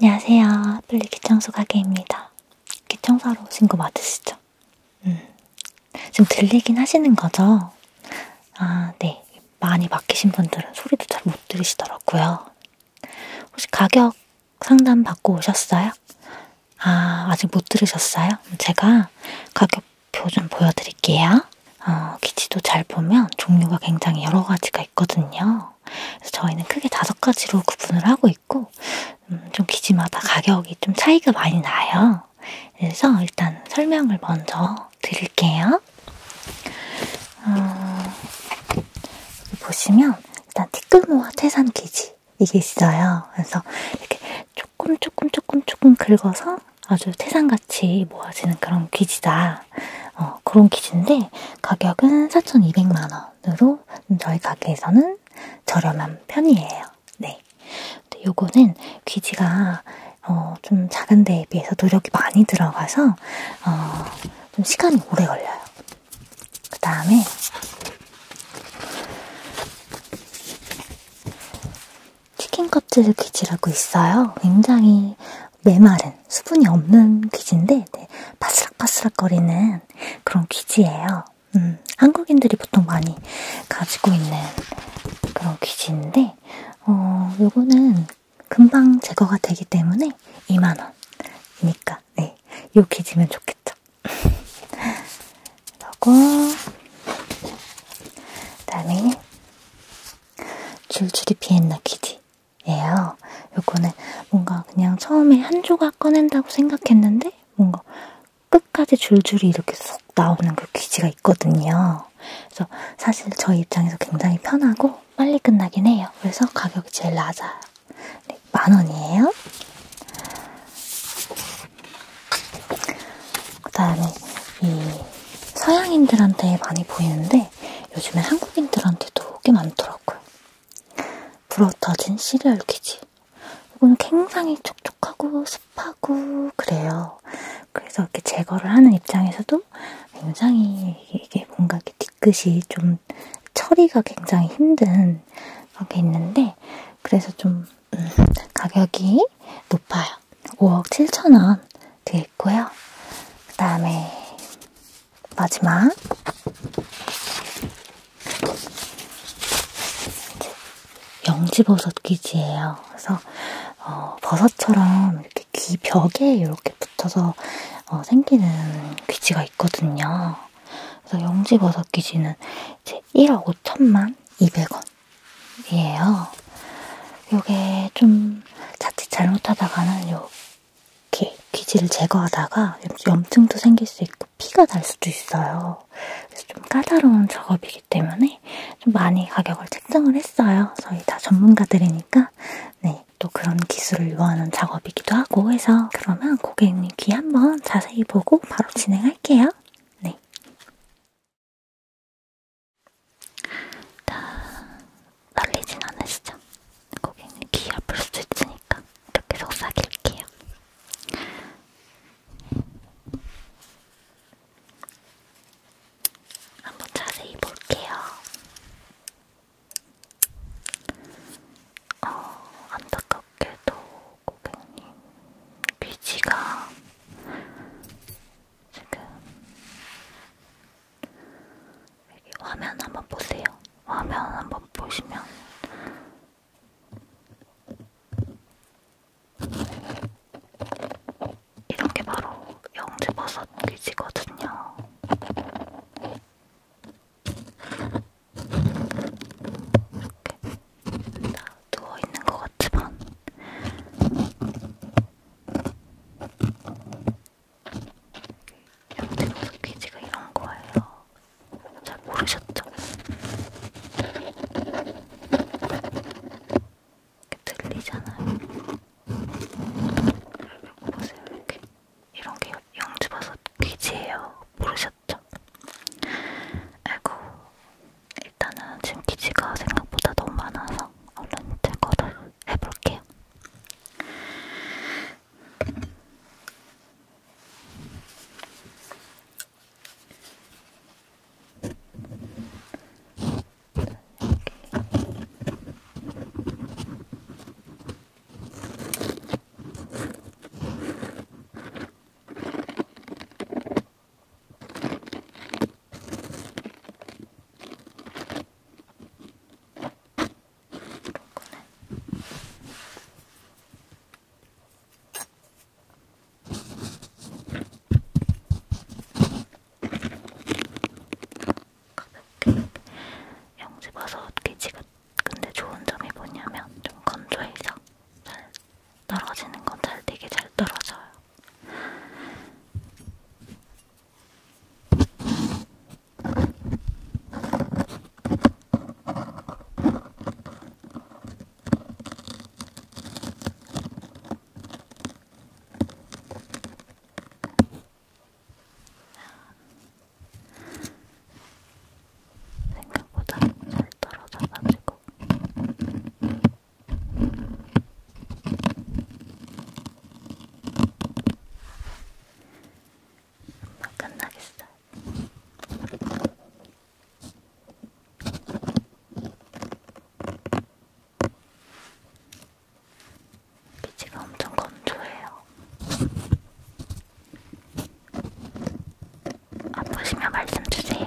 안녕하세요. 플리 기청소 가게입니다. 기청소하러 오신 거 맞으시죠? 음, 지금 들리긴 하시는 거죠? 아, 네. 많이 막히신 분들은 소리도 잘 못 들으시더라고요. 혹시 가격 상담 받고 오셨어요? 아, 아직 못 들으셨어요? 제가 가격표 좀 보여드릴게요. 어, 기지도 잘 보면 종류가 굉장히 여러 가지가 있거든요. 있어요. 그래서 저희는 크게 다섯 가지로 구분을 하고 있고 음, 좀 기지마다 가격이 좀 차이가 많이 나요. 그래서 일단 설명을 먼저 드릴게요. 어, 여기 보시면 일단 티끌모아 태산 기지 이게 있어요. 그래서 이렇게 조금 조금 조금 조금 긁어서 아주 태산같이 모아지는 그런 기지다. 있다. 어, 그런 퀴즈인데 가격은 4,200만원으로 저희 가게에서는 저렴한 편이에요. 네. 요거는 귀지가 어, 좀 작은 데에 비해서 노력이 많이 들어가서 어, 좀 시간이 오래 걸려요. 그 다음에 치킨 껍질 귀지라고 있어요. 굉장히 메마른 수분이 없는 귀지인데 네, 바스락바스락 거리는 그런 귀지예요. 음, 한국인들이 보통 많이 가지고 있는 그런 귀지인데 어, 요거는 금방 제거가 되기 때문에 2만원이니까 네, 요 귀지면 좋겠죠. 그리고 그다음에 줄줄이 비엔나 귀지 예요. 요거는 뭔가 그냥 처음에 한 조각 꺼낸다고 생각했는데 뭔가 끝까지 줄줄이 이렇게 쏙 나오는 그 귀지가 있거든요. 그래서 사실 저희 입장에서 굉장히 편하고 빨리 끝나긴 해요. 그래서 가격이 제일 낮아요. 네, 만 원이에요. 그 다음에 이 서양인들한테 많이 보이는데 요즘에 한국인들한테도 꽤 많더라고요. 불어터진 시리얼 퀴즈. 이거는 굉장히 촉촉하고 습하고 그래요. 그래서 이렇게 제거를 하는 입장에서도 굉장히 이게 뭔가 이렇게 뒤끝이 좀 처리가 굉장히 힘든 그런 게 있는데 그래서 좀 음, 가격이 높아요. 5억 7천 원 되겠고요. 그 다음에 마지막. 영지버섯 귀지예요. 그래서 어, 버섯처럼 이렇게 귀 벽에 이렇게 붙어서 어, 생기는 귀지가 있거든요. 그래서 영지버섯 귀지는 이제 1억 5천만 200원이에요. 요게 좀 자칫 잘못하다가는 요 이렇게 귀지를 제거하다가 염증도 생길 수 있고 피가 날 수도 있어요. 그래서 좀 까다로운 작업이기 때문에 좀 많이 가격을 책정을 했어요. 저희 다 전문가들이니까 네, 또 그런 기술을 요하는 작업이기도 하고 해서 그러면 고객님 귀 한번 자세히 보고 바로 진행할게요. 네. 자, 날리진 않으시죠? 고객님 귀 아플 수 있으니까 이렇게 속삭일게요. 한번 자세히 볼게요. 어, 안타깝게도 고객님 귀지가 지금 여기 화면 한번 보세요. 화면 한번 보시면 이렇게 바로 영지버섯 퀴즈거든요. 이렇게 다 누워 있는 것 같지만 양대노 스퀴즈가 이런 거예요. 잘 모르셨죠? 들리잖아요. 보세요, 이렇게. 이런 게 영주버섯 퀴즈예요. 모르셨죠? 아이고, 일단은 지금 퀴즈가 생각보다 너무 많아서 얼른 제거를 한번 해볼게요. 요거는 가볍게 영집버섯 기지가 근데 좋은 점이 뭐냐면 좀 건조해서 잘 떨어지는 건 잘 되게 잘 떨어져요. 생각보다 잘 떨어져가지고 뭐 끝나겠어요. 피지가 엄청 건조해요. 아프시면 말씀 주세요.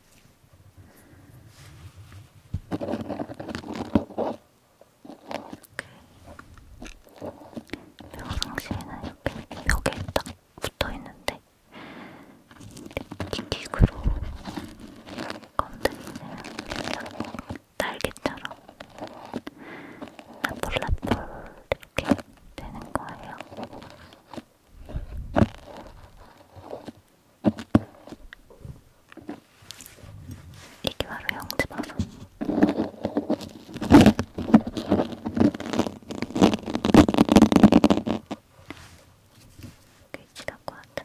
평상시에는 이렇게 벽에 딱 붙어있는데 틱틱으로 건드리면 날개처럼 라폴라폴 이렇게 되는 거예요. 이게 바로 형제바서 귀지 갖고 왔다.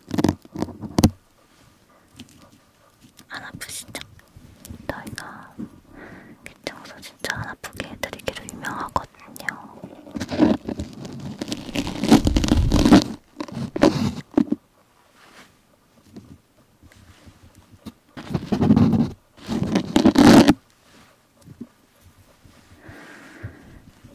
안 아프시죠? 저희가 귀청소 진짜 안 아프게 해드리기로 유명하거든요.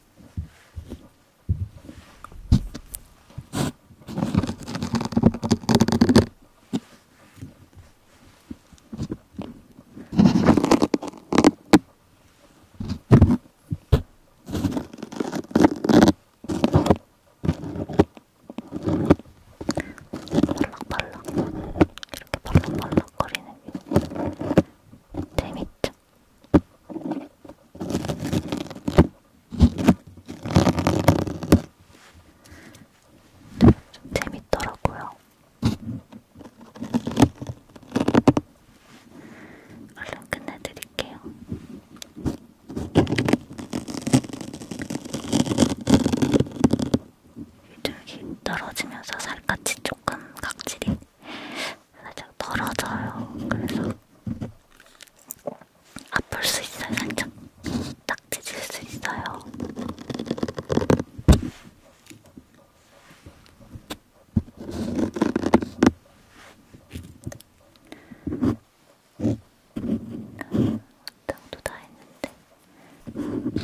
발락발락 이렇게 발락발락거리는 게 재밌 좀 재밌더라고요. 얼른 끝내드릴게요. 이쪽이 떨어지면서 살갗이 조금 각질이 살짝 떨어져요. 그래서 아플 수 있어요. 살짝 딱지질 수 있어요. 땅도 다 했는데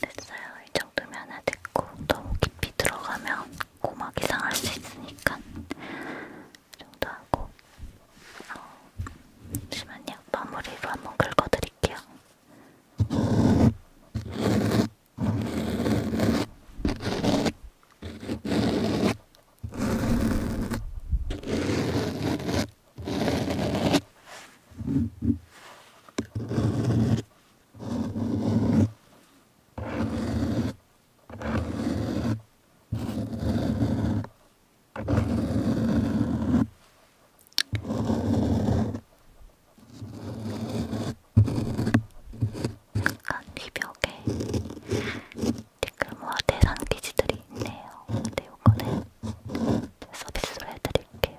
됐어요. 이 정도면 하나 됐고 너무 깊이 들어가면 고막이 상할 수 있으니까 이 정도 하고 어, 잠시만요. 마무리로 한 번 긁어드릴게요. 약간 이벽에 티끌모아 대상 퀴즈들이 있네요. 근데 요거는 서비스로 해드릴게요.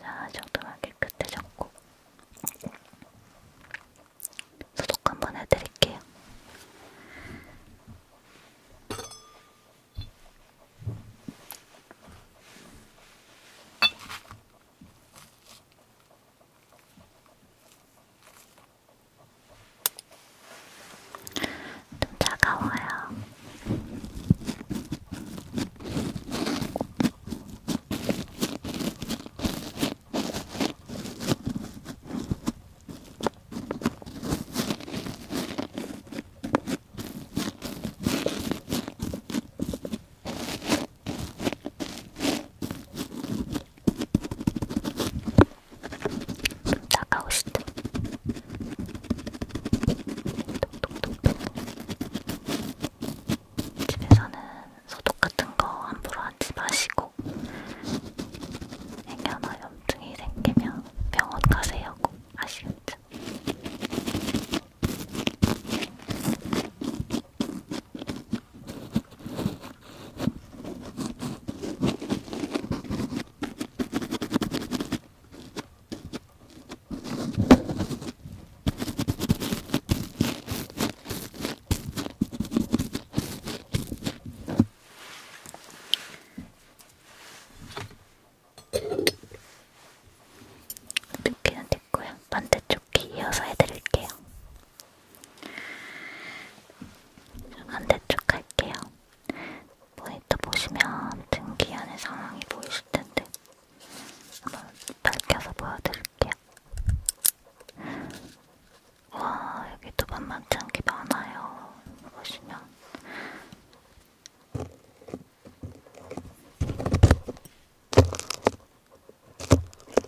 자, 정도만 깨끗해졌고 소독 한번 해드릴게요. 좀 차가워요. 나가고 싶다. 집에서는 소독 같은 거 함부로 하지 마시고 애견화 염증이 생기면 병원 가세요 꼭 아시겠죠? 두 개는 됐고요. 반대쪽 귀 이어서 해드릴게요. 반대쪽 할게요. 모니터 보시면 등기 안의 상황이 보이실 텐데 한번 밝혀서 보여드릴게요. 와 여기도 만만치 않게 많아요. 보시면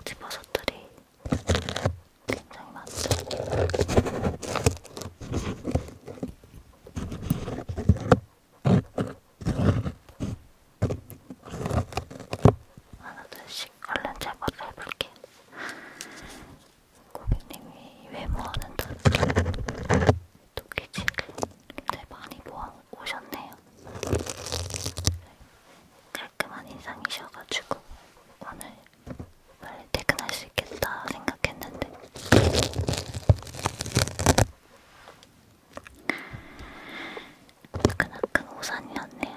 집어서들이 굉장히 많죠. 하나둘씩 얼른 제거를 해볼게요. 고객님이 왜 모아는 돈? 도끼질을 굉장히 많이 모아 오셨네요. 깔끔한 인상이셔가지고 오늘 빨리 퇴근할 수 있겠다 생각했는데 뜨끈뜨끈 오산이었네요.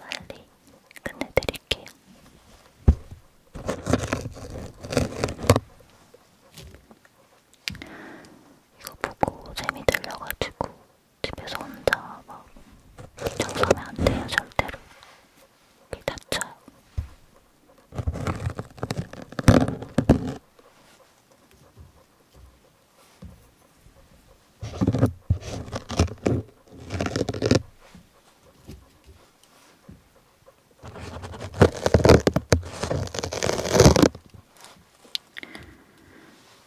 빨리 끝내드릴게요. 이거 보고 재미 들려가지고 집에서 혼자 막 정상에 안 돼요 절대로. 다쳐요.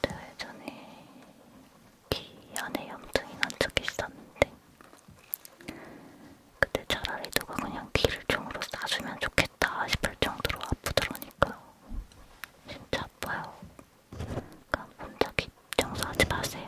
대회 전에 귀 안에 염증이 난 적이 있었는데 그때 차라리 누가 그냥 귀를 종으로 쏴주면 좋겠다 싶을 정도로 아프더라니까요. 진짜 아파요. 그러니까 혼자 귀 청소하지 마세요.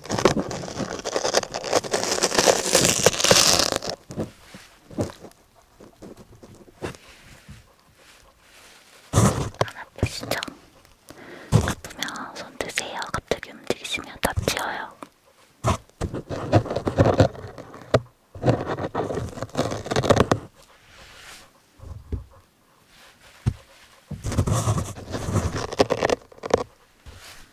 안 아프시죠? 아프면 손 드세요. 갑자기 움직이시면 다치어요.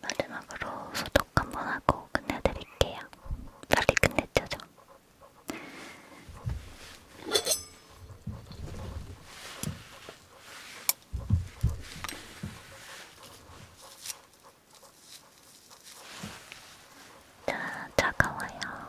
마지막으로 소독 한번 하고 끝내드릴게요. 빨리 끝내죠. 자, 차가워요.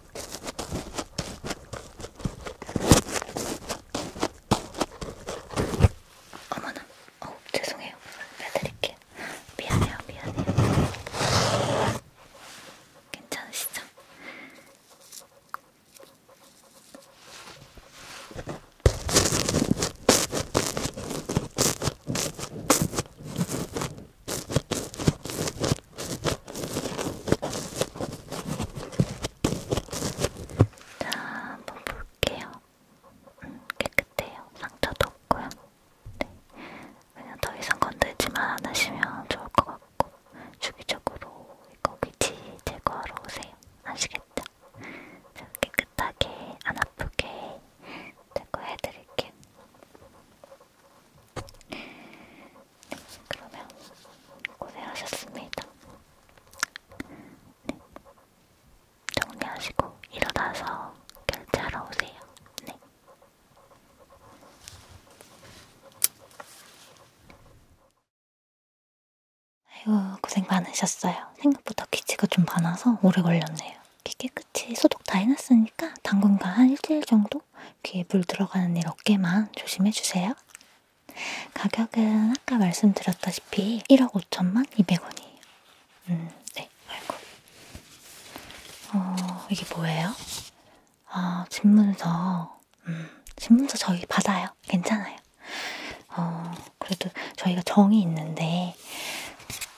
어머나, 어, 죄송해요. 빼드릴게요. 미안해요, 미안해요. 괜찮으시죠? 자, 한번 볼게요. 음, 깨끗해요. 상처도 없고요. 네. 그냥 더 이상 건들지만 않으시면 좋을 것 같고 주기적으로 이거 위치 제거하러 오세요. 아시겠죠? 자, 깨끗하게 안 아프게 제거해드릴게요. 그러면 고생하셨습니다. 네. 정리하시고 일어나서 결제하러 오세요. 네. 아이고 고생 많으셨어요. 생각보다 귀치가 좀 많아서 오래 걸렸네요. 귀 깨끗이 소독 다 해놨으니까 당분간 한 일주일 정도 귀에 물 들어가는 일 없게만 조심해주세요. 가격은 아까 말씀드렸다시피 1억 5천만 2백원이에요 음, 네, 아이고. 어, 이게 뭐예요? 아, 신문서. 음, 신문서 저희 받아요. 괜찮아요. 어, 그래도 저희가 정이 있는데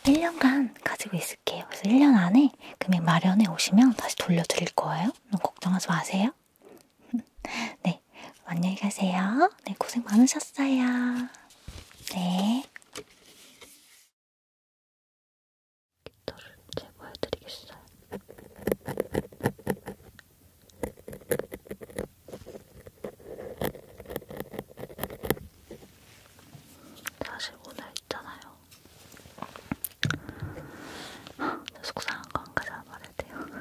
1년간 가지고 있을게요. 그래서 1년 안에 금액 마련해 오시면 다시 돌려드릴 거예요. 걱정하지 마세요. 네, 안녕히 가세요. 네, 고생 많으셨어요. 네. 깃털을 제거해드리겠어요. 사실 오늘 있잖아요. 속상한 거안 가져와 말해야 돼요.